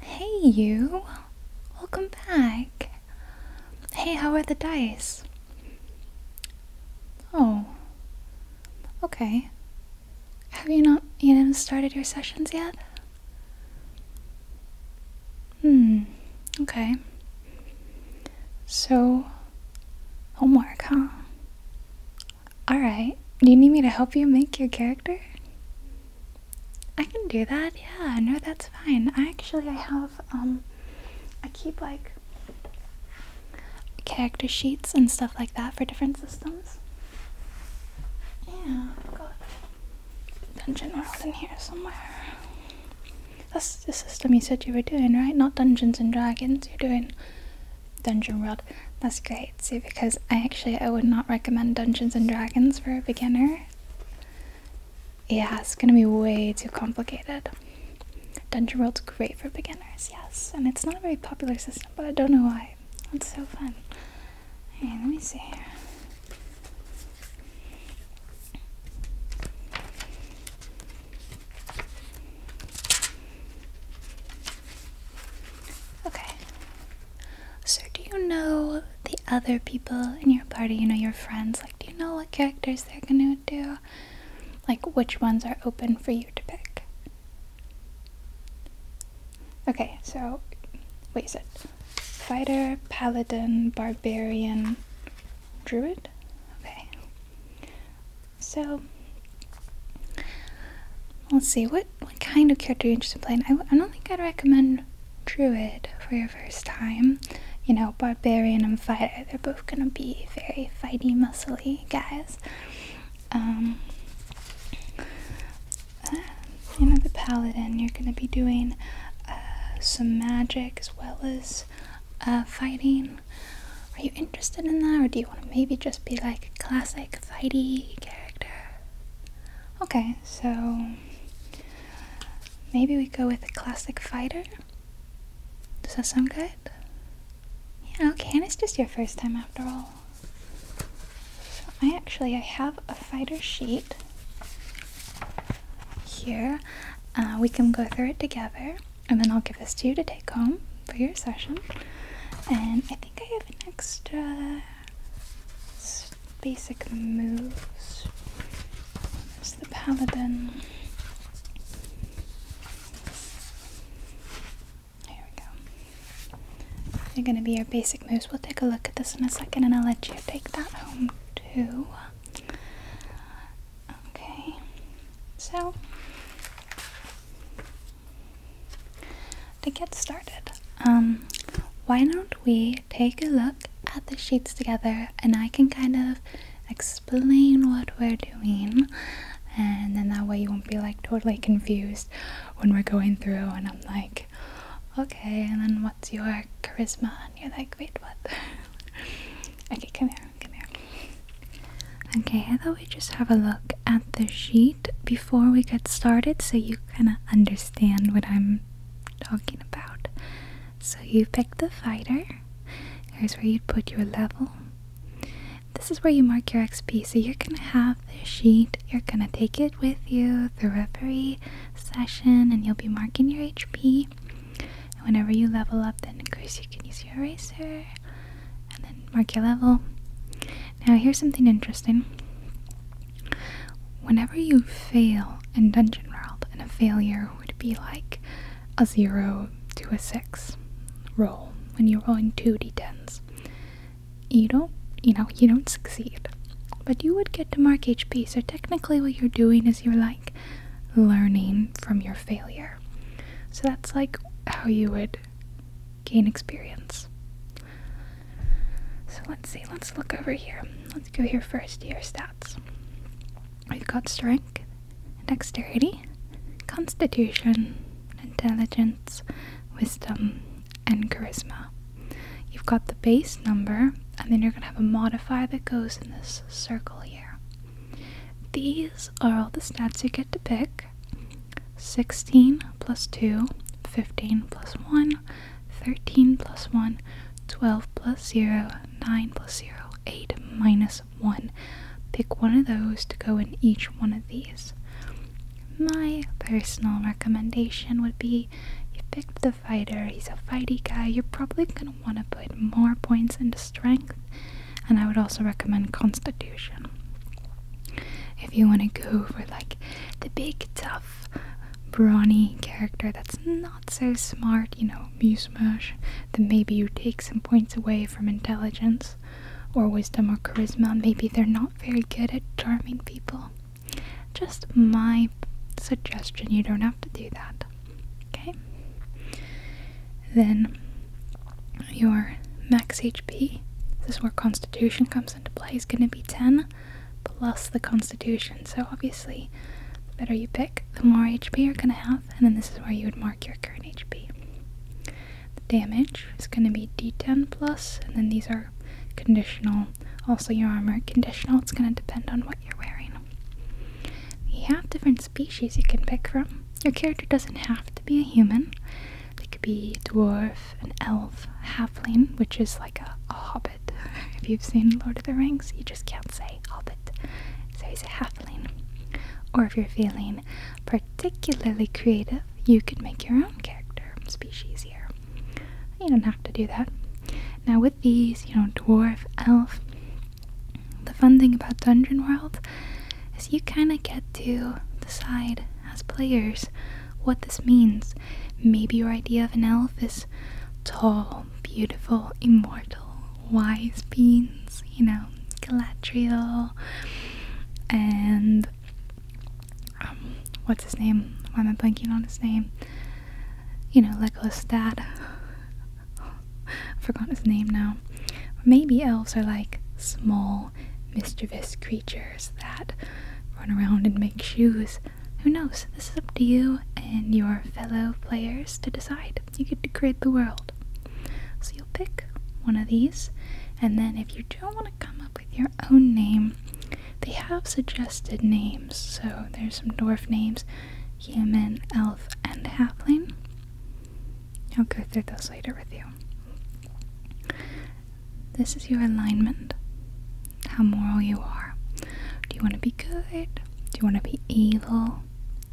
Hey, you! Welcome back! Hey, how are the dice? Oh. Okay. Have you not even started your sessions yet? Hmm. Okay. So, homework, huh? Alright, do you need me to help you make your character? I can do that, yeah, no, that's fine. I actually, I have, um, I keep like character sheets and stuff like that for different systems. Yeah, Dungeon World in here somewhere. That's the system you said you were doing, right? Not Dungeons and Dragons, you're doing Dungeon World that's great. See, because I actually I would not recommend Dungeons and Dragons for a beginner. Yeah, it's gonna be way too complicated. Dungeon World's great for beginners, yes, and it's not a very popular system, but I don't know why. It's so fun. Hey, let me see here. Okay. So, do you know the other people in your party? You know, your friends? Like, do you know what characters they're gonna do? Like, which ones are open for you to pick? Okay, so, wait, a second. fighter, paladin, barbarian, druid? Okay. So let's see what what kind of character you're interested in playing. I, I don't think I'd recommend druid for your first time. You know, barbarian and fighter, they're both gonna be very fighty, muscly guys. Um, uh, you know, the paladin, you're gonna be doing uh, some magic as well as uh, fighting. Are you interested in that, or do you want to maybe just be like a classic fighty character? Okay, so maybe we go with a classic fighter. Does that sound good? Yeah, okay, and it's just your first time after all. So I actually I have a fighter sheet here. Uh, we can go through it together and then I'll give this to you to take home for your session. And I think I have an extra basic moves. There's the paladin. Here we go. They're gonna be your basic moves. We'll take a look at this in a second and I'll let you take that home too. Okay. So to get started, um, why don't we take a look at the sheets together and I can kind of explain what we're doing, and then that way you won't be like totally confused when we're going through and I'm like, okay, and then what's your charisma? And you're like, wait, what? okay, come here. Okay, I thought we'd just have a look at the sheet before we get started so you kind of understand what I'm talking about. So you pick the fighter. Here's where you'd put your level. This is where you mark your XP. So you're going to have the sheet. You're going to take it with you through every session and you'll be marking your HP. And whenever you level up, then of course you can use your eraser and then mark your level. Now, here's something interesting. Whenever you fail in Dungeon World, and a failure would be like a 0 to a 6 roll when you're rolling 2 d10s, you don't, you know, you don't succeed. But you would get to mark HP, so technically, what you're doing is you're like learning from your failure. So that's like how you would gain experience. So let's see, let's look over here. Let's go here first your stats. you have got strength, dexterity, constitution, intelligence, wisdom, and charisma. You've got the base number, and then you're going to have a modifier that goes in this circle here. These are all the stats you get to pick. 16 plus 2, 15 plus 1, 13 plus 1, 12 plus 0, 9 plus 0, 8 minus 1. Pick one of those to go in each one of these. My personal recommendation would be you picked the fighter, he's a fighty guy, you're probably going to want to put more points into strength and I would also recommend Constitution. If you want to go for like the big, tough, brawny character that's not so smart, you know, muse-mash, then maybe you take some points away from intelligence or wisdom or charisma. Maybe they're not very good at charming people. Just my suggestion, you don't have to do that. Okay? Then your max HP, this is where Constitution comes into play, is going to be 10 plus the Constitution. So obviously, the better you pick, the more HP you're going to have, and then this is where you would mark your current HP. The damage is going to be D10 plus, and then these are conditional. Also, your armor conditional. It's going to depend on what you're wearing. You have different species you can pick from your character doesn't have to be a human. They could be a dwarf, an elf, a halfling, which is like a, hobbit. if you've seen Lord of the Rings, you just can't say hobbit. So you say halfling. Or if you're feeling particularly creative, you could make your own character species here. You don't have to do that. Now with these, you know, dwarf, elf, the fun thing about Dungeon World is you kind of get to decide as players what this means. Maybe your idea of an elf is tall, beautiful, immortal, wise beings, you know, Galadriel, and um, what's his name? i am I blanking on his name? You know, Legolas Dad. Forgotten his name now. Maybe elves are like small, mischievous creatures that run around and make shoes. Who knows? This is up to you and your fellow players to decide. You get to create the world. So you'll pick one of these, and then if you don't want to come up with your own name, they have suggested names. So there's some dwarf names human, elf, and halfling. I'll go through those later with you. This is your alignment, how moral you are. Do you want to be good? Do you want to be evil?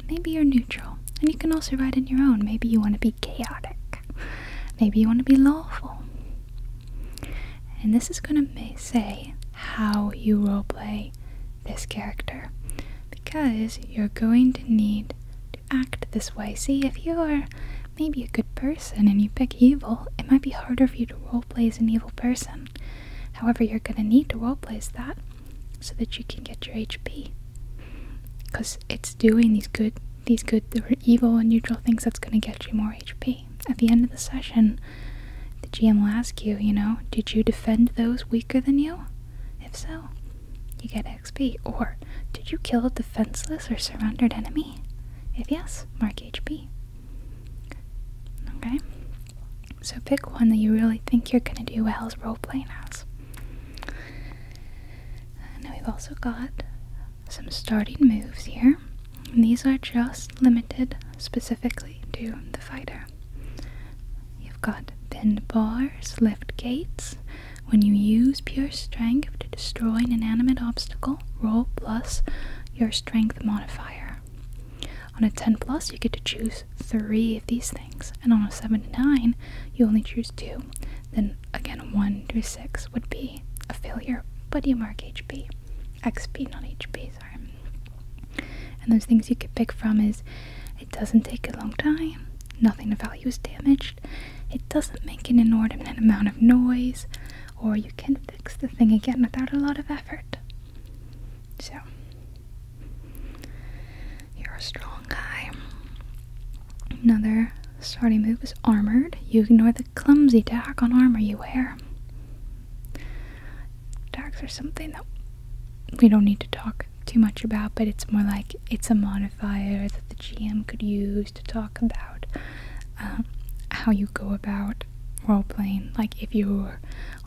Maybe you're neutral. And you can also write in your own. Maybe you want to be chaotic. Maybe you want to be lawful. And this is going to say how you roleplay this character because you're going to need to act this way. See, if you're maybe a good person and you pick evil, it might be harder for you to roleplay as an evil person. However, you're going to need to roleplay as that so that you can get your HP. Because it's doing these good, these good, evil and neutral things that's going to get you more HP. At the end of the session, the GM will ask you, you know, did you defend those weaker than you? If so, you get XP. Or, did you kill a defenseless or surrendered enemy? If yes, mark HP. Okay? So pick one that you really think you're going to do well as role playing as. Now we've also got some starting moves here. these are just limited specifically to the fighter. You've got bend bars, lift gates. When you use pure strength to destroy an inanimate obstacle, roll plus your strength modifier. On a 10 plus, you get to choose three of these things, and on a 7 to 9, you only choose two. Then again, 1 through 6 would be a failure, but you mark HP. XP, not HP, sorry. And those things you could pick from is it doesn't take a long time, nothing of value is damaged. It doesn't make an inordinate amount of noise, or you can fix the thing again without a lot of effort. So, you're a strong guy. Another starting move is armored. You ignore the clumsy tack on armor you wear. Tacks are something that we don't need to talk too much about, but it's more like it's a modifier that the GM could use to talk about um, how you go about role playing. Like if your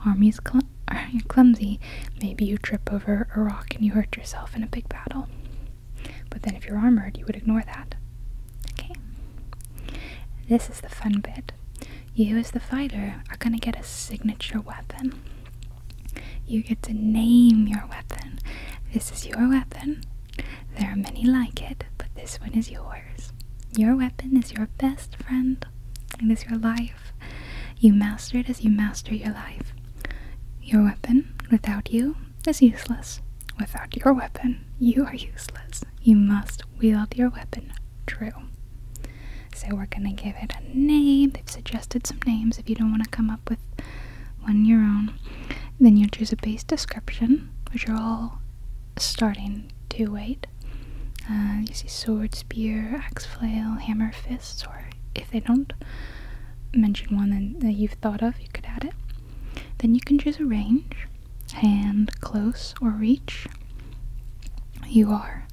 army's cl clumsy, maybe you trip over a rock and you hurt yourself in a big battle. But then if you're armored, you would ignore that. Okay. This is the fun bit. You, as the fighter, are going to get a signature weapon. You get to name your weapon. This is your weapon. There are many like it, but this one is yours. Your weapon is your best friend. It is your life. You master it as you master your life. Your weapon, without you, is useless. Without your weapon, you are useless. You must wield your weapon true. So we're gonna give it a name. They've suggested some names if you don't want to come up with one your own. Then you choose a base description, which are all starting to wait. Uh, you see sword, spear, axe, flail, hammer, fists, or if they don't mention one that you've thought of, you could add it. Then you can choose a range, hand, close, or reach. You are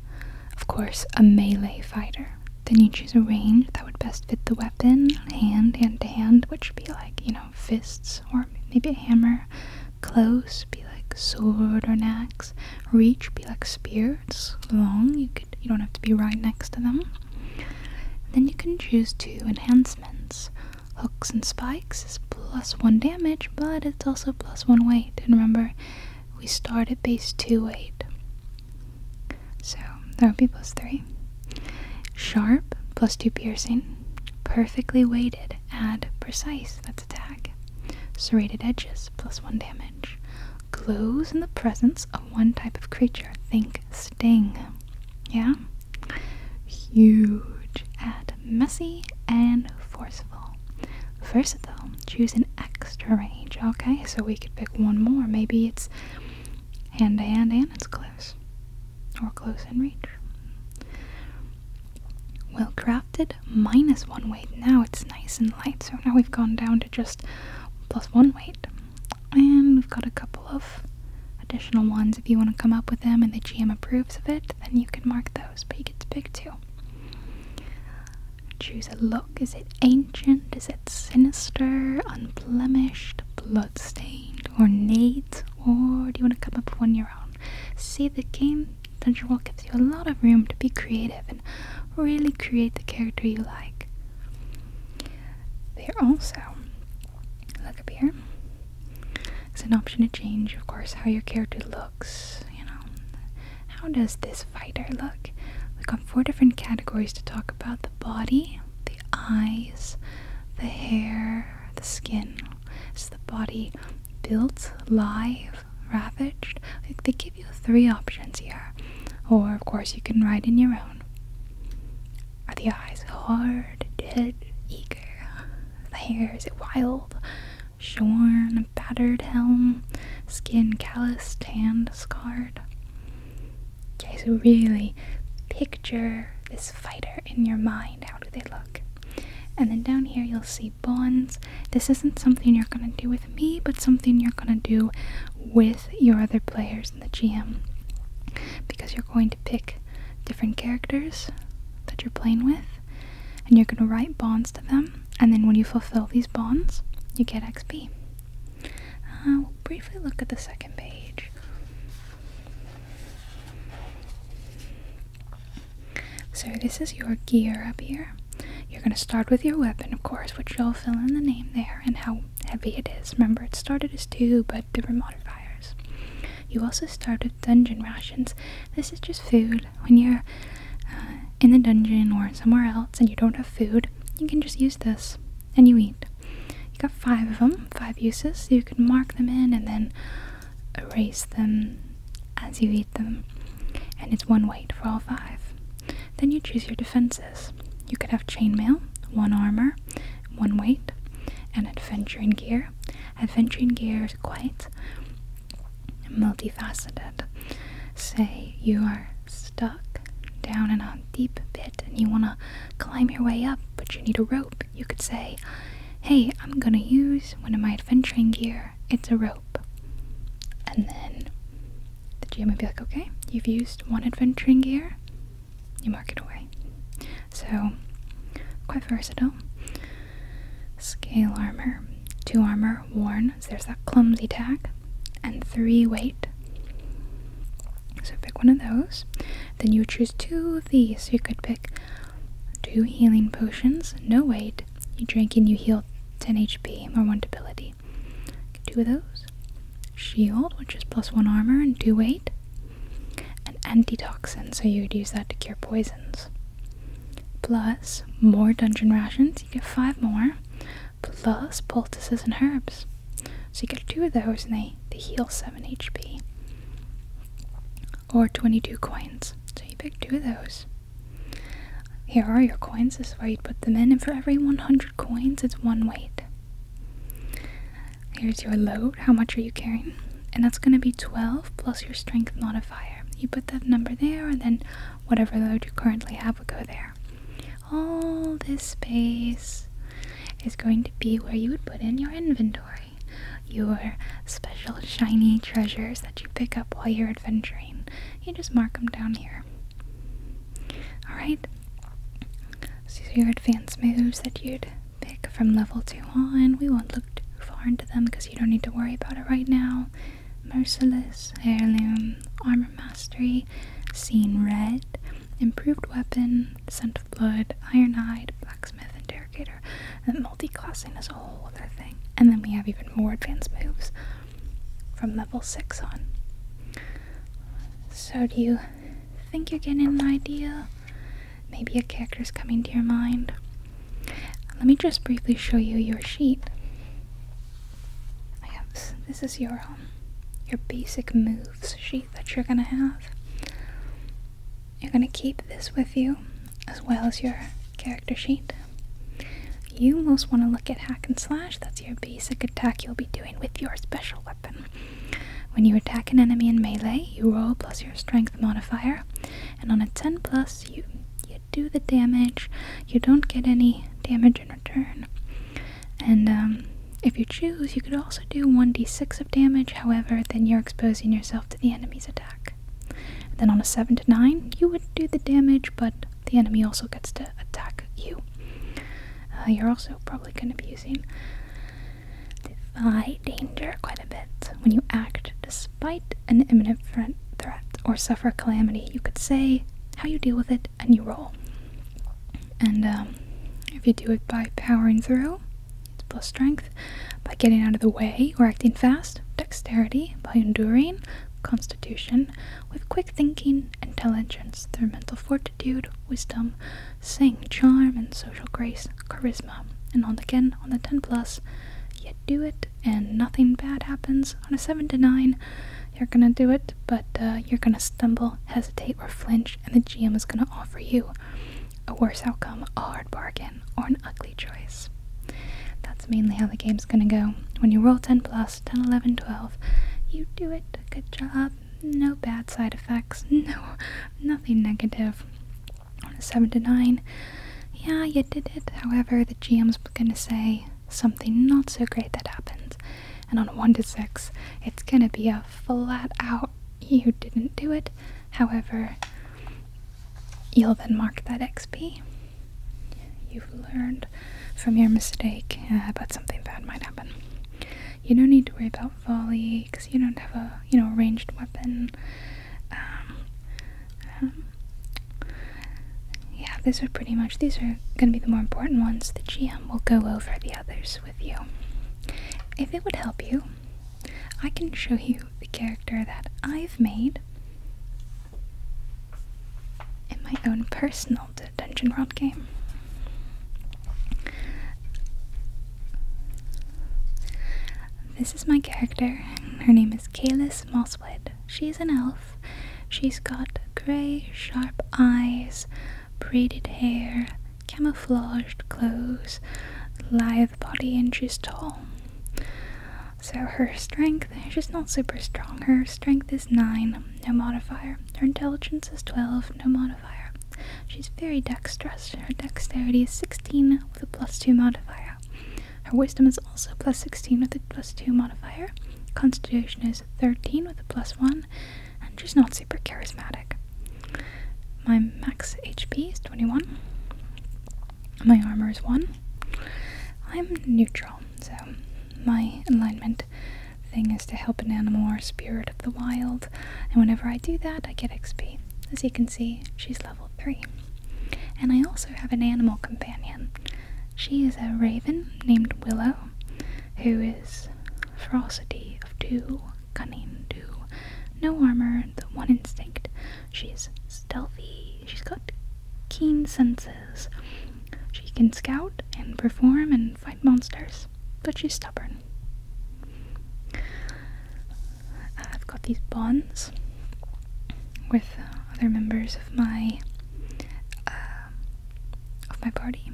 of course, a melee fighter. Then you choose a range that would best fit the weapon, hand, hand to hand, which would be like, you know, fists or maybe a hammer. Close, be like sword or axe. Reach, be like spears. long, you could you don't have to be right next to them. then you can choose two enhancements. Hooks and spikes is plus one damage, but it's also plus one weight. And remember, we start at base 2-8. So that would be plus 3. Sharp, plus 2 piercing. Perfectly weighted, add precise, that's a tag. Serrated edges, plus 1 damage. Glows in the presence of one type of creature, think sting. Yeah? Huge, add messy and forceful. Versatile, choose an extra range. Okay, so we could pick one more. Maybe it's hand to hand and it's close, or close in reach. Well crafted, minus one weight. Now it's nice and light, so now we've gone down to just plus one weight. And we've got a couple of additional ones. If you want to come up with them and the GM approves of it, then you can mark those, but you get to pick two. Choose a look. Is it ancient? Is it sinister? Unblemished? Bloodstained? Ornate? Or do you want to come up with one your own? See, the game Dungeon World gives you a lot of room to be creative and really create the character you like. There also, look up here, it's an option to change, of course, how your character looks. You know, how does this fighter look? We've got four different categories to talk about the body, the eyes, the hair, the skin. Is the body built, live, ravaged? they give you three options here. Or, of course, you can write in your own. Are the eyes hard, dead, eager? The hair, is it wild, shorn, battered helm, skin calloused, tanned, scarred. Okay, so really picture this fighter in your mind. How do they look? And then down here you'll see bonds. This isn't something you're gonna do with me, but something you're gonna do with your other players in the GM. Because you're going to pick different characters that you're playing with, and you're gonna write bonds to them. And then when you fulfill these bonds, you get XP. Uh, we'll briefly look at the second page. So this is your gear up here. You're going to start with your weapon, of course, which you'll fill in the name there and how heavy it is. Remember, it started as 2, but there were modifiers. You also start with dungeon rations. This is just food when you're uh, in the dungeon or somewhere else and you don't have food, you can just use this and you eat. You got five of them, five uses, so you can mark them in and then erase them as you eat them. And it's one weight for all five. Then you choose your defenses. You could have chainmail, one armor, one weight, and adventuring gear. Adventuring gear is quite multifaceted. Say you are stuck down in a deep pit and you want to climb your way up, but you need a rope. You could say, Hey, I'm gonna use one of my adventuring gear. It's a rope. And then the GM would be like, Okay, you've used one adventuring gear. You mark it away. So, quite versatile. Scale armor. Two armor worn, so there's that clumsy tag, and three weight. So pick one of those. Then you would choose two of these. So you could pick two healing potions, no weight. You drink and you heal 10 HP, or 1 debility. Two of those. Shield, which is plus 1 armor and 2 weight. And antitoxin, so you would use that to cure poisons. Plus more dungeon rations, you get 5 more plus poultices and herbs. So you get two of those and they, they heal 7 HP. Or 22 coins. So you pick two of those. Here are your coins. This is where you put them in. And for every 100 coins, it's one weight. Here's your load. How much are you carrying? And that's going to be 12 plus your strength modifier. You put that number there and then whatever load you currently have would go there. All this space is going to be where you would put in your inventory, your special shiny treasures that you pick up while you're adventuring. You just mark them down here. Alright, so your advanced moves that you'd pick from level 2 on, we won't look too far into them because you don't need to worry about it right now. Merciless, Heirloom, Armor Mastery, Seen Red, Improved Weapon, Scent of Blood, Iron Eyed, Blacksmith, Interrogator. And multi-classing is a whole other thing. And then we have even more advanced moves from level 6 on. So do you think you're getting an idea? Maybe a character is coming to your mind? Let me just briefly show you your sheet this is your um, your basic moves sheet that you're gonna have. You're gonna keep this with you as well as your character sheet. You most want to look at hack and slash, that's your basic attack you'll be doing with your special weapon. When you attack an enemy in melee, you roll plus your strength modifier, and on a 10 plus, you, you do the damage, you don't get any damage in return. And um, if you choose, you could also do 1d6 of damage, however, then you're exposing yourself to the enemy's attack. then on a 7 to 9, you would do the damage, but the enemy also gets to attack you. Uh, you're also probably going to be using defy danger quite a bit. When you act despite an imminent threat or suffer calamity, you could say how you deal with it, and you roll. And um, if you do it by powering through, it's plus strength. By getting out of the way or acting fast, dexterity. By enduring, constitution. With quick thinking, intelligence. Through mental fortitude, wisdom. Sing, charm, and social grace, charisma. And on again, on the 10 plus, you do it and nothing bad happens on a 7 to 9 you're gonna do it but uh, you're gonna stumble hesitate or flinch and the gm is gonna offer you a worse outcome a hard bargain or an ugly choice that's mainly how the game's gonna go when you roll 10 plus 10 11 12 you do it good job no bad side effects no nothing negative on a 7 to 9 yeah you did it however the gm's gonna say something not so great that happens. And on 1 to 6, it's gonna be a flat out you didn't do it. However, you'll then mark that XP. You've learned from your mistake, uh, but something bad might happen. You don't need to worry about volley because you don't have a you know ranged weapon. Um, um, yeah, these are pretty much, these are going to be the more important ones. The GM will go over the others with you. If it would help you, I can show you the character that I've made in my own personal Dungeon World game. This is my character. Her name is Kalis Mosswood. She's an elf She's got grey, sharp eyes, braided hair, camouflaged clothes, lithe body, and she's tall. So her strength, she's not super strong. Her strength is 9, no modifier. Her intelligence is 12, no modifier. She's very dexterous. and Her dexterity is 16 with a plus 2 modifier. Her wisdom is also plus 16 with a plus 2 modifier. Constitution is 13 with a plus 1, and she's not super charismatic. My max HP is 21. My armor is 1. I'm neutral, so my alignment thing is to help an animal or spirit of the wild, and whenever I do that, I get XP. As you can see, she's level 3. And I also have an animal companion. She is a raven named Willow, who is ferocity of two, cunning two, no armor, the one instinct. She's stealthy, she's got keen senses. She can scout and perform and fight monsters, but she's stubborn. I've got these bonds with uh, other members of my uh, of my party.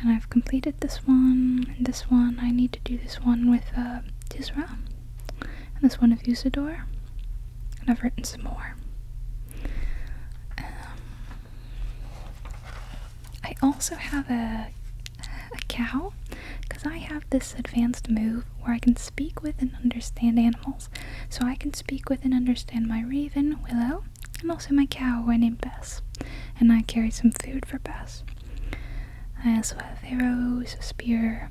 And I've completed this one and this one. I need to do this one with uh, Tisra and this one with Usador. And I've written some more. Um, I also have a a cow because I have this advanced move where I can speak with and understand animals so I can speak with and understand my raven, Willow, and also my cow named Bess. And I carry some food for Bess. I also have arrows, a spear,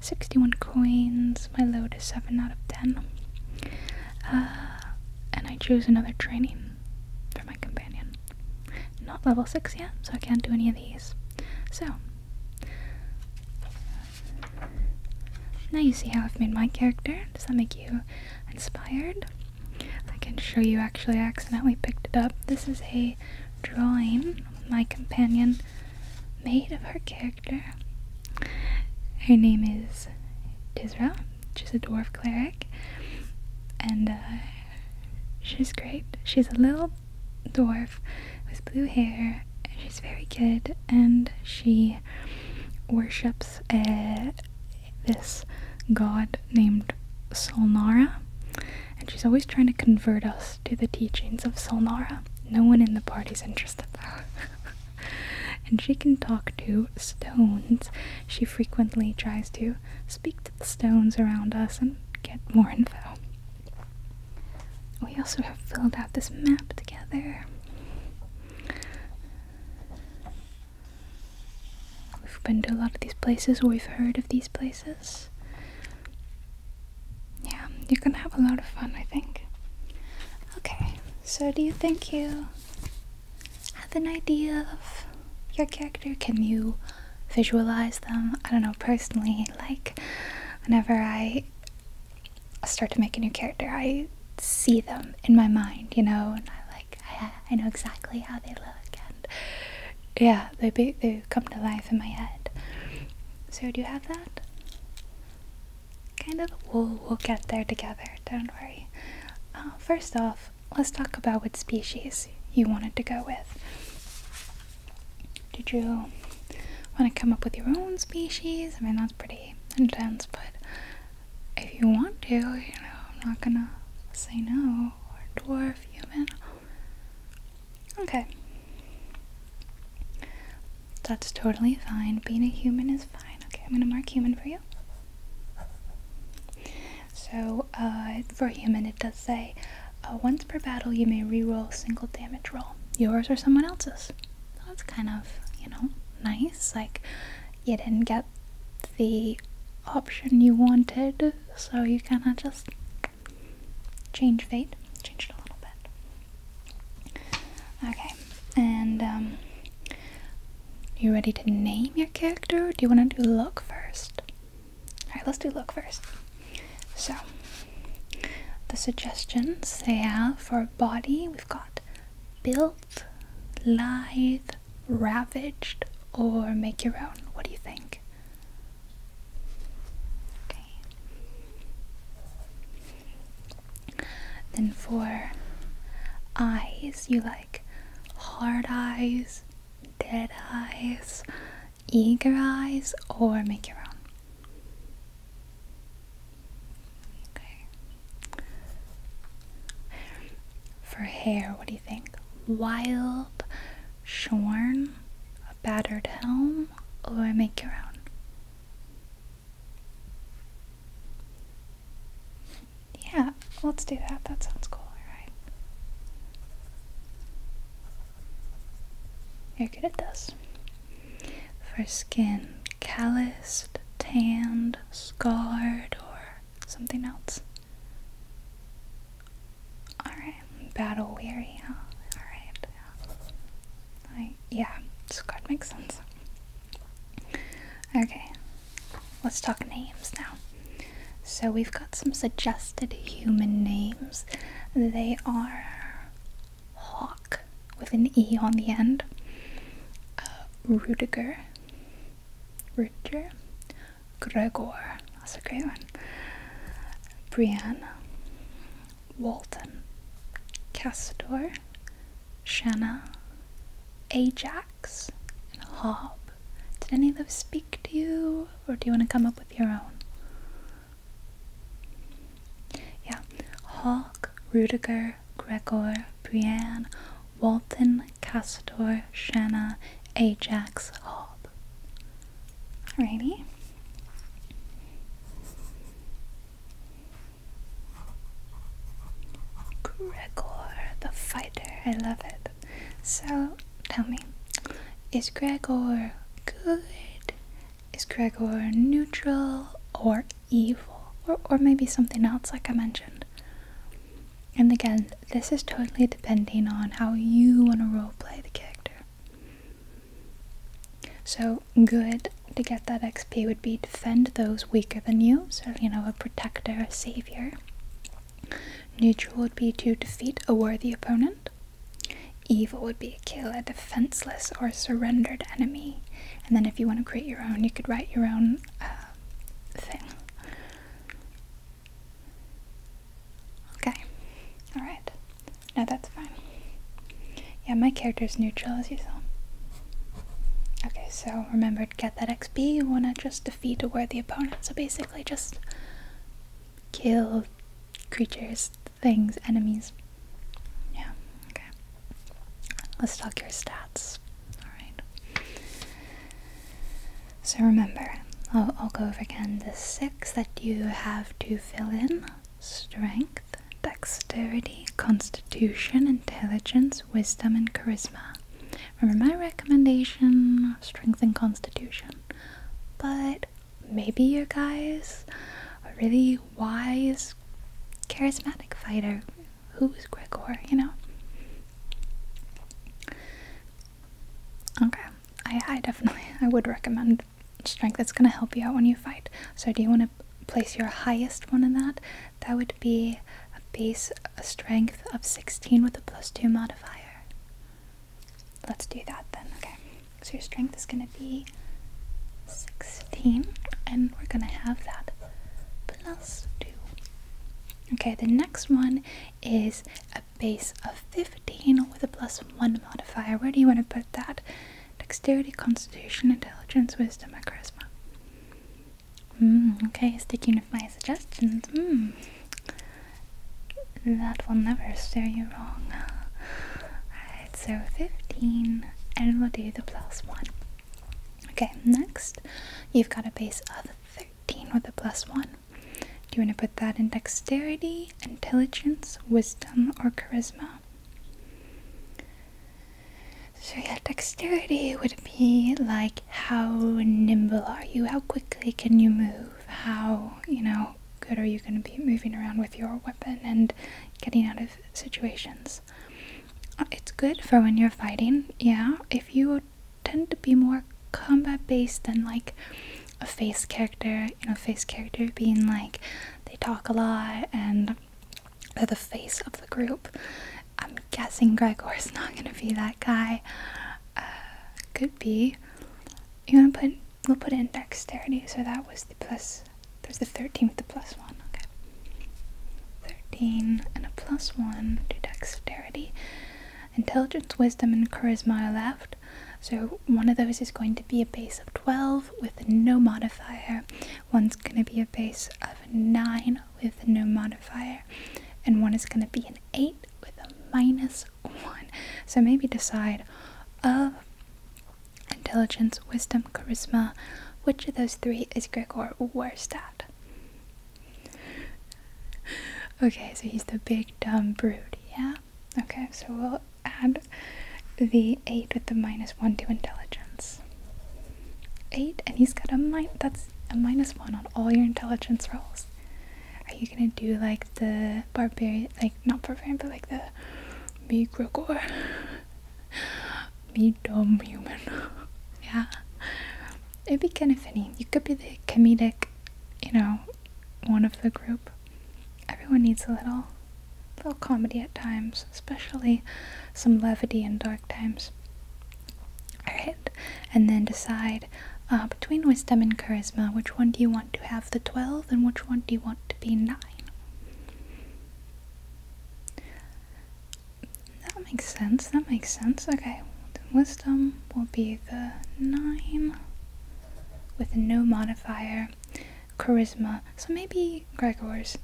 61 coins, my load is 7 out of 10. Uh, and I choose another training for my companion. Not level 6 yet, so I can't do any of these. So, now you see how I've made my character. Does that make you inspired? I can show you actually I accidentally picked it up. This is a drawing my companion made of her character. Her name is Tisra. She's a dwarf cleric. And uh, she's great. She's a little dwarf with blue hair. She's very good, and she worships uh, this god named Solnara. And she's always trying to convert us to the teachings of Solnara. No one in the party's interested, though. and she can talk to stones. She frequently tries to speak to the stones around us and get more info. We also have filled out this map together. We've been to a lot of these places, or we've heard of these places. Yeah, you can have a lot of fun, I think. Okay, so do you think you have an idea of your character? Can you visualize them? I don't know, personally, like, whenever I I start to make a new character, I see them in my mind, you know, and I like I, know exactly how they look, and yeah, they they come to life in my head. So do you have that? Kind of. We'll we'll get there together. Don't worry. Uh, first off, let's talk about what species you wanted to go with. Did you want to come up with your own species? I mean, that's pretty intense, but if you want to, you know, I'm not gonna say no. Or dwarf, human. Okay. That's totally fine. Being a human is fine. Okay, I'm gonna mark human for you. So, uh, for human, it does say uh, once per battle, you may reroll a single damage roll, yours or someone else's. That's kind of, you know, nice. Like, you didn't get the option you wanted, so you kind of just change fate, change it a little bit. Okay, and, um, you ready to name your character? do you want to do look first? Alright, let's do look first. So, the suggestions they have for body, we've got built, lithe, ravaged, or make your own. What do you think? Okay. Then for eyes, you like hard eyes, dead eyes, eager eyes or make your own. Okay. For hair, what do you think? Wild, shorn, a battered helm, or make your own? Yeah, let's do that. That sounds cool, alright. You're good at this for skin calloused, tanned, scarred, or something else. Alright, battle weary, Alright. yeah, scarred makes sense. Okay, let's talk names now. So we've got some suggested human names. They are Hawk with an E on the end, uh, Rudiger, Rudiger, Gregor, that's a great one, Brianna, Walton, Castor, Shanna, Ajax, and Hob. Did any of those speak to you, or do you want to come up with your own? Yeah, Hawk, Rudiger, Gregor, Brienne, Walton, Castor, Shanna, Ajax, Hob. Alrighty. Gregor the fighter, I love it. So tell me, is Gregor good? is Gregor neutral or evil? Or, or maybe something else, like I mentioned. And again, this is totally depending on how you want to roleplay the character. So, good to get that XP would be defend those weaker than you, so, you know, a protector, a savior. Neutral would be to defeat a worthy opponent. Evil would be to kill a defenseless or surrendered enemy. And then if you want to create your own, you could write your own uh, thing. Okay. Alright. No, that's fine. Yeah, my character's neutral as you saw. Okay, so remember to get that XP. You want to just defeat a worthy opponent. So basically just kill creatures things, enemies. Yeah, okay. Let's talk your stats. Alright. So remember, I'll, I'll go over again the six that you have to fill in strength, dexterity, constitution, intelligence, wisdom, and charisma. Remember my recommendation strength and constitution. But maybe your guy is a really wise, charismatic fighter. Who's Gregor, you know? Okay, I, I definitely, I would recommend strength. That's going to help you out when you fight. So do you want to place your highest one in that? That would be a base a strength of 16 with a plus 2 modifier. Let's do that then, okay? So your strength is gonna be 16, and we're gonna have that plus 2. Okay, the next one is a base of 15 with a plus 1 modifier. Where do you want to put that? Dexterity, Constitution, Intelligence, Wisdom, or Charisma. Hmm, okay, sticking with my suggestions. Hmm that will never steer you wrong. Alright, so 15 and we'll do the plus 1. Okay, next you've got a base of 13 with a plus 1. Do you want to put that in dexterity, intelligence, wisdom, or charisma? So, yeah, dexterity would be like how nimble are you? How quickly can you move? how you know good are you going to be moving around with your weapon and getting out of situations uh, it's good for when you're fighting yeah if you tend to be more combat based than like a face character you know face character being like they talk a lot and they're the face of the group i'm guessing gregor's not going to be that guy uh, could be you want to put we'll put in dexterity, so that was the plus, there's the 13th, the plus 1, okay. 13 and a plus 1 to dexterity. Intelligence, wisdom, and charisma left, so one of those is going to be a base of 12 with no modifier, one's going to be a base of 9 with no modifier, and one is going to be an 8 with a minus plus one. So maybe decide of intelligence, wisdom, charisma, which of those three is Gregor Where's that? Okay, so he's the big dumb brute, yeah? Okay, so we'll add the 8 with the minus 1 to intelligence. 8, and he's got a min- that's a minus 1 on all your intelligence rolls are you gonna do like the barbarian, like not barbarian, but like the me Grogor, me dumb human? yeah, it'd be kind of funny. You could be the comedic, you know, one of the group. Everyone needs a little, little comedy at times, especially some levity in dark times. Alright, and then decide uh, between wisdom and charisma, which one do you want? want to have the 12 and which one do you want to be 9? That makes sense, that makes sense. Okay, wisdom will be the 9 with no modifier, charisma. So maybe Gregor's,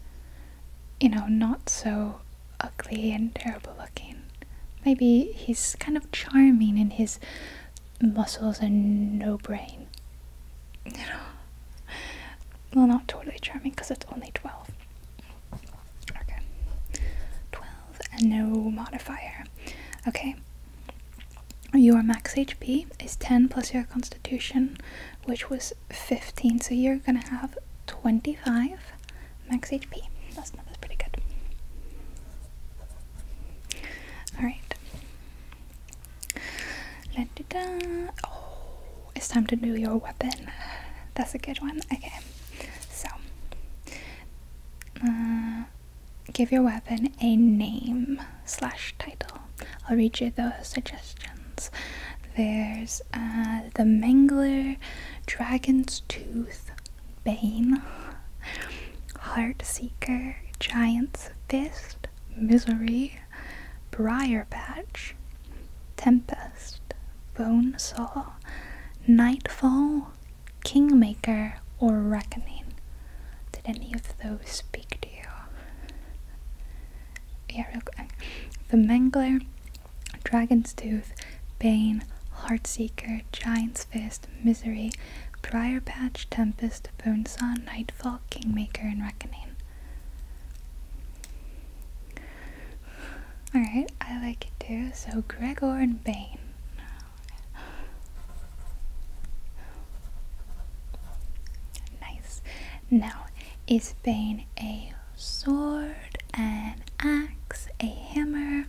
you know, not so ugly and terrible looking. Maybe he's kind of charming in his muscles and no brain. You know, well, not totally charming because it's only 12. Okay, 12 and no modifier. Okay, your max HP is 10 plus your constitution, which was 15, so you're gonna have 25 max HP. That's, that's pretty good. Alright, Oh, it's time to do your weapon. That's a good one. Okay, so uh, give your weapon a name slash title. I'll read you the suggestions. There's uh, the Mangler, Dragon's Tooth, Bane, Heart Seeker, Giant's Fist, Misery, Briar Patch, Tempest, Bone Saw, Nightfall, Kingmaker, or Reckoning. Did any of those speak to you? Yeah, real quick. The Mangler, Dragon's Tooth, Bane, Heartseeker, Giant's Fist. Misery, Briar Patch, Tempest, Bonesaw, Nightfall, Kingmaker, and Reckoning. Alright, I like it too. So Gregor and Bane. Nice. Now, is Bane a sword, an axe, a hammer,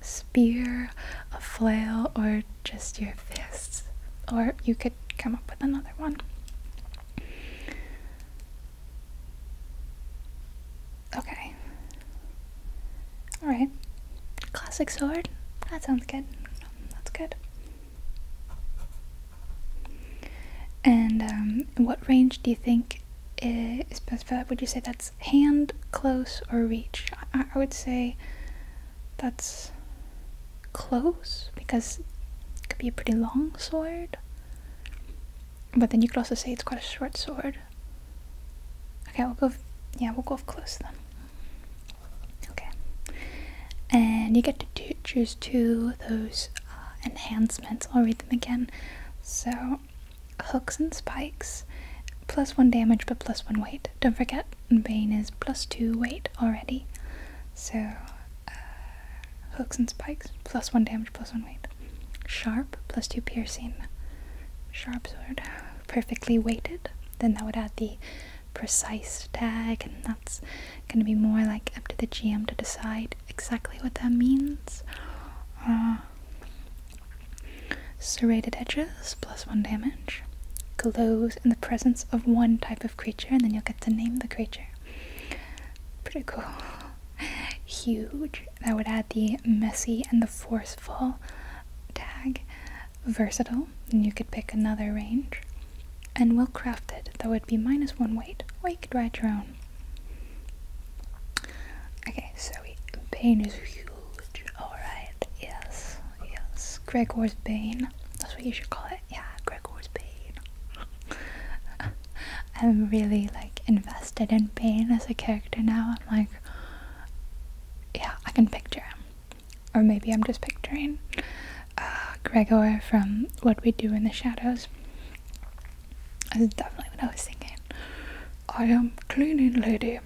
spear, a flail, or just your fists, or you could come up with another one. Okay. Alright. Classic sword? That sounds good. That's good. And um, what range do you think Would you say that's hand, close, or reach? I would say that's close because it could be a pretty long sword. But then you could also say it's quite a short sword. Okay, we'll go. yeah, we'll go close then. Okay, and you get to choose two of those uh, enhancements. I'll read them again. So, hooks and spikes, plus one damage but plus one weight. Don't forget, and Bane is plus 2 weight already. So, uh, hooks and spikes, plus 1 damage, plus 1 weight. Sharp, plus 2 piercing. Sharp sword, perfectly weighted. Then that would add the precise tag, and that's going to be more like up to the GM to decide exactly what that means. Uh, Serrated edges, plus one damage. Glows in the presence of one type of creature, and then you'll get to name the creature. Pretty cool. Huge. That would add the messy and the forceful tag. Versatile, and you could pick another range. And well crafted, that would be minus one weight, or you could write your own. Okay, so we, pain is huge. Alright, yes yes, Gregor's Bane. That's what you should call it. Yeah, Gregor's Bane. I'm really like invested in Bane as a character now. I'm like, yeah, I can picture him. Or maybe I'm just picturing uh, Gregor from What We Do in the Shadows. That's definitely what I was thinking. I am cleaning lady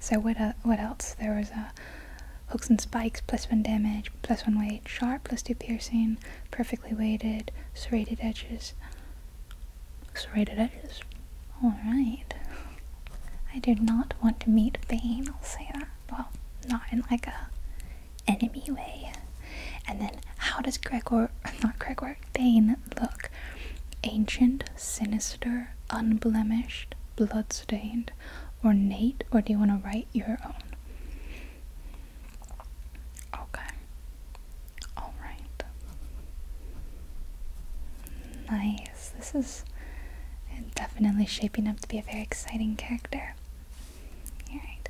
so what uh, what else? There was a uh, hooks and spikes, plus one damage, plus one weight, sharp, plus two piercing, perfectly weighted, serrated edges. Serrated edges. Alright. I do not want to meet Bane, I'll say that. Well, not in like a enemy way. And then how does Gregor not Gregor Bane look? Ancient, sinister, unblemished, bloodstained, ornate, or do you want to write your own? Okay. All right. Nice. This is definitely shaping up to be a very exciting character. All right.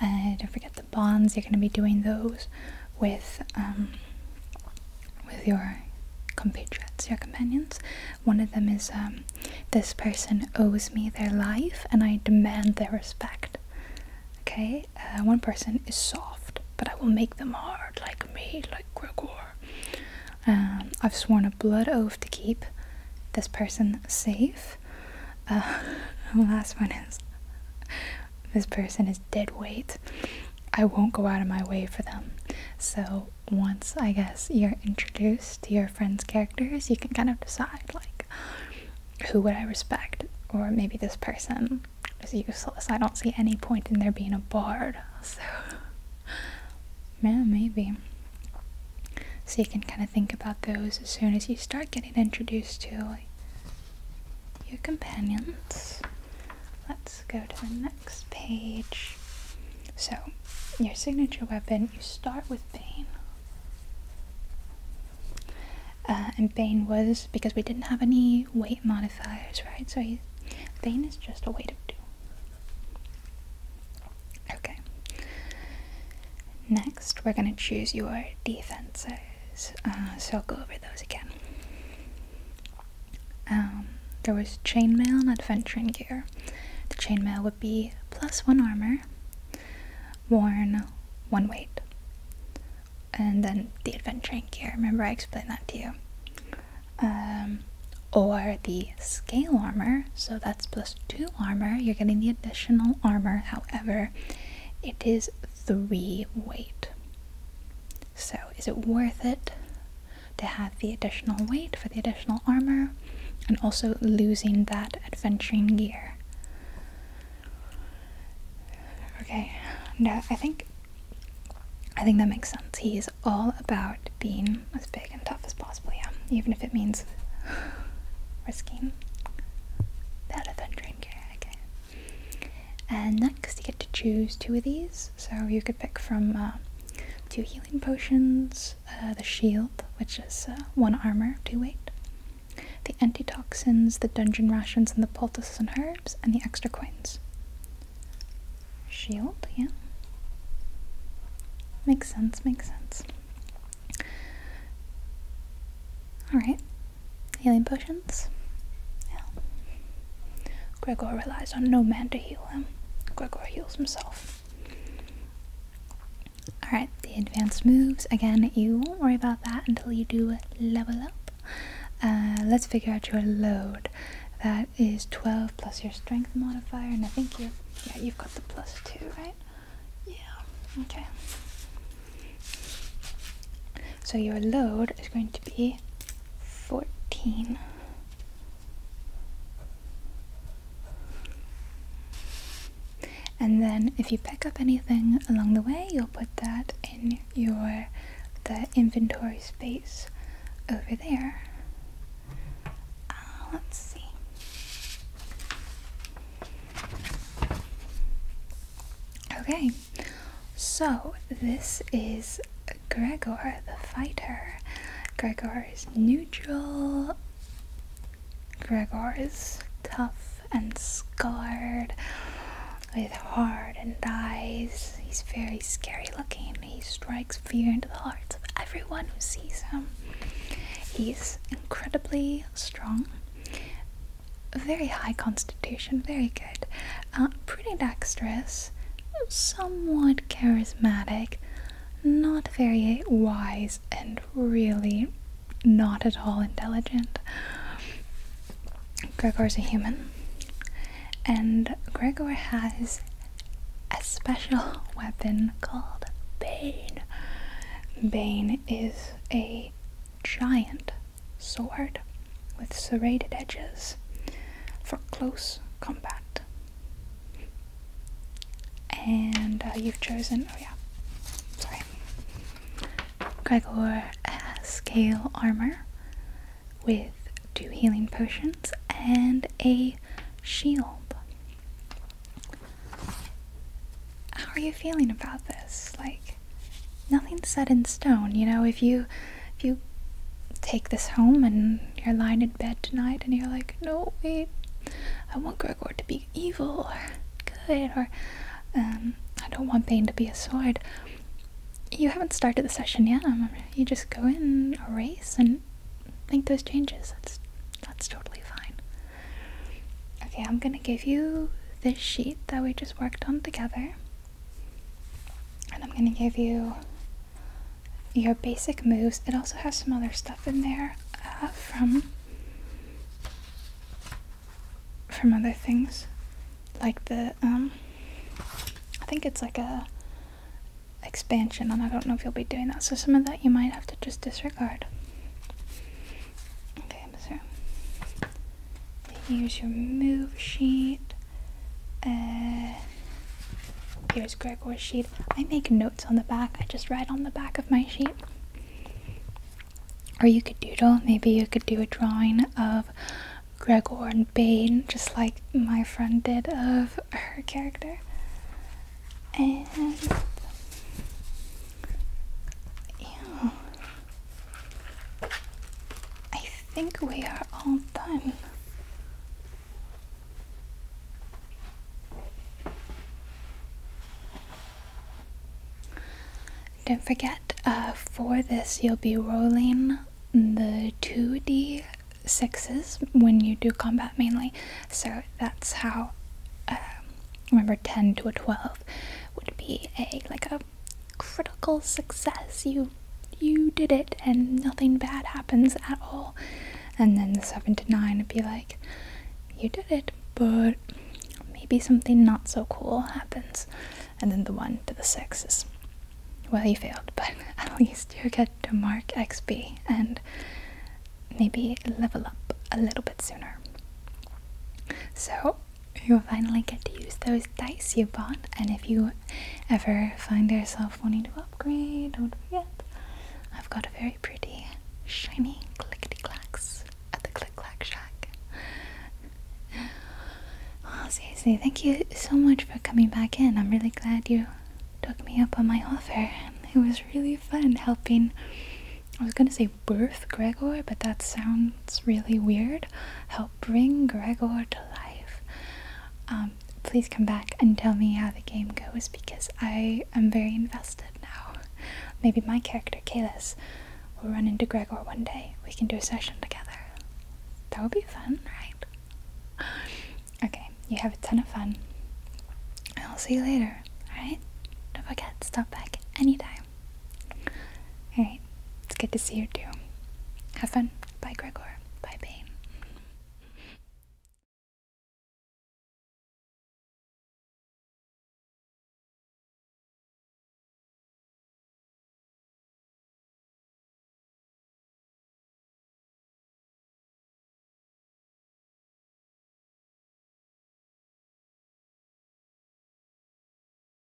Uh, don't forget the bonds. You're going to be doing those with um, with your compatriots, your companions. One of them is um, this person owes me their life and I demand their respect. Okay, uh, one person is soft, but I will make them hard, like me, like Gregor. Um, I've sworn a blood oath to keep this person safe. the uh, last one is this person is dead weight. I won't go out of my way for them. So once I guess you're introduced to your friends' characters, you can kind of decide like who would I respect, or maybe this person is useless. I don't see any point in there being a bard. So yeah, maybe. So you can kind of think about those as soon as you start getting introduced to your companions. Let's go to the next next page. So, your signature weapon, you start with Bane. Uh, and Bane was, because we didn't have any weight modifiers, right? So, he, Bane is just a weight of two. Okay. Next, we're going to choose your defenses. Uh, so, I'll go over those again. Um, there was chainmail and adventuring gear. The chainmail would be plus one armor, worn one weight. And then the adventuring gear. Remember, I explained that to you. Um, or the scale armor, so that's plus two armor. You're getting the additional armor, however, it is three weight. So, is it worth it to have the additional weight for the additional armor and also losing that adventuring gear? Okay, no, I think I think that makes sense. He is all about being as big and tough as possible, yeah. Even if it means risking that adventuring gear, okay. And next, you get to choose two of these. So you could pick from uh, two healing potions, uh, the shield, which is uh, one armor, two weight, the antitoxins, the dungeon rations, and the poultices and herbs, and the extra coins. Shield, yeah. Makes sense, makes sense. Alright, healing potions. Yeah. Gregor relies on no man to heal him. Gregor heals himself. Alright, the advanced moves. Again, you won't worry about that until you do level up. Uh, let's figure out your load. That is 12 plus your strength modifier, and I think you yeah, you've got the plus 2, right? Yeah, okay. So your load is going to be 14. And then if you pick up anything along the way, you'll put that in your the inventory space over there. Uh, let's see. Okay, so this is Gregor the fighter. Gregor is neutral. Gregor is tough and scarred with heart eyes. He's very scary looking. He strikes fear into the hearts of everyone who sees him. He's incredibly strong, very high constitution, very good, uh, pretty dexterous, somewhat charismatic, not very wise, and really not at all intelligent. Gregor's a human, and Gregor has a special weapon called Bane. Bane is a giant sword with serrated edges for close combat. And uh, you've chosen, oh yeah, sorry, Gregor has scale armor with two healing potions and a shield. How are you feeling about this? Like, nothing's set in stone. You know, if you if you take this home and you're lying in bed tonight and you're like, no, wait, I want Gregor to be evil or good or um, I don't want Bane to be a sword. You haven't started the session yet. You just go in, erase, and make those changes. that's totally fine. Okay, I'm gonna give you this sheet that we just worked on together. And I'm gonna give you your basic moves. It also has some other stuff in there uh, from from other things, like the um, I think it's like a expansion, and I don't know if you'll be doing that. So some of that you might have to just disregard. Okay, so Here's your move sheet. Uh, here's Gregor's sheet. I make notes on the back. I just write on the back of my sheet. Or you could doodle. Maybe you could do a drawing of Gregor and Bane, just like my friend did of her character. And yeah, I think we are all done. Don't forget, uh, for this you'll be rolling the 2d sixes when you do combat mainly. So that's how. Um, remember, 10 to a 12 would be a like a critical success. You you did it and nothing bad happens at all. And then the seven to nine would be like, you did it, but maybe something not so cool happens. And then the one to the six is well you failed, but at least you get to mark XP and maybe level up a little bit sooner. So you'll finally get to use those dice you bought. And if you ever find yourself wanting to upgrade, don't forget, I've got a very pretty, shiny clickety clacks at the Click Clack Shack. Well, oh, seriously, thank you so much for coming back in. I'm really glad you took me up on my offer. It was really fun helping. I was gonna say birth Gregor, but that sounds really weird bring Gregor to life, um, please come back and tell me how the game goes because I am very invested now. Maybe my character, Kalis, will run into Gregor one day. We can do a session together. That would be fun, right? Okay, you have a ton of fun. I'll see you later, alright? Don't forget, stop back anytime. Alright, it's good to see you too. Have fun. Bye, Gregor. Bye, Bane.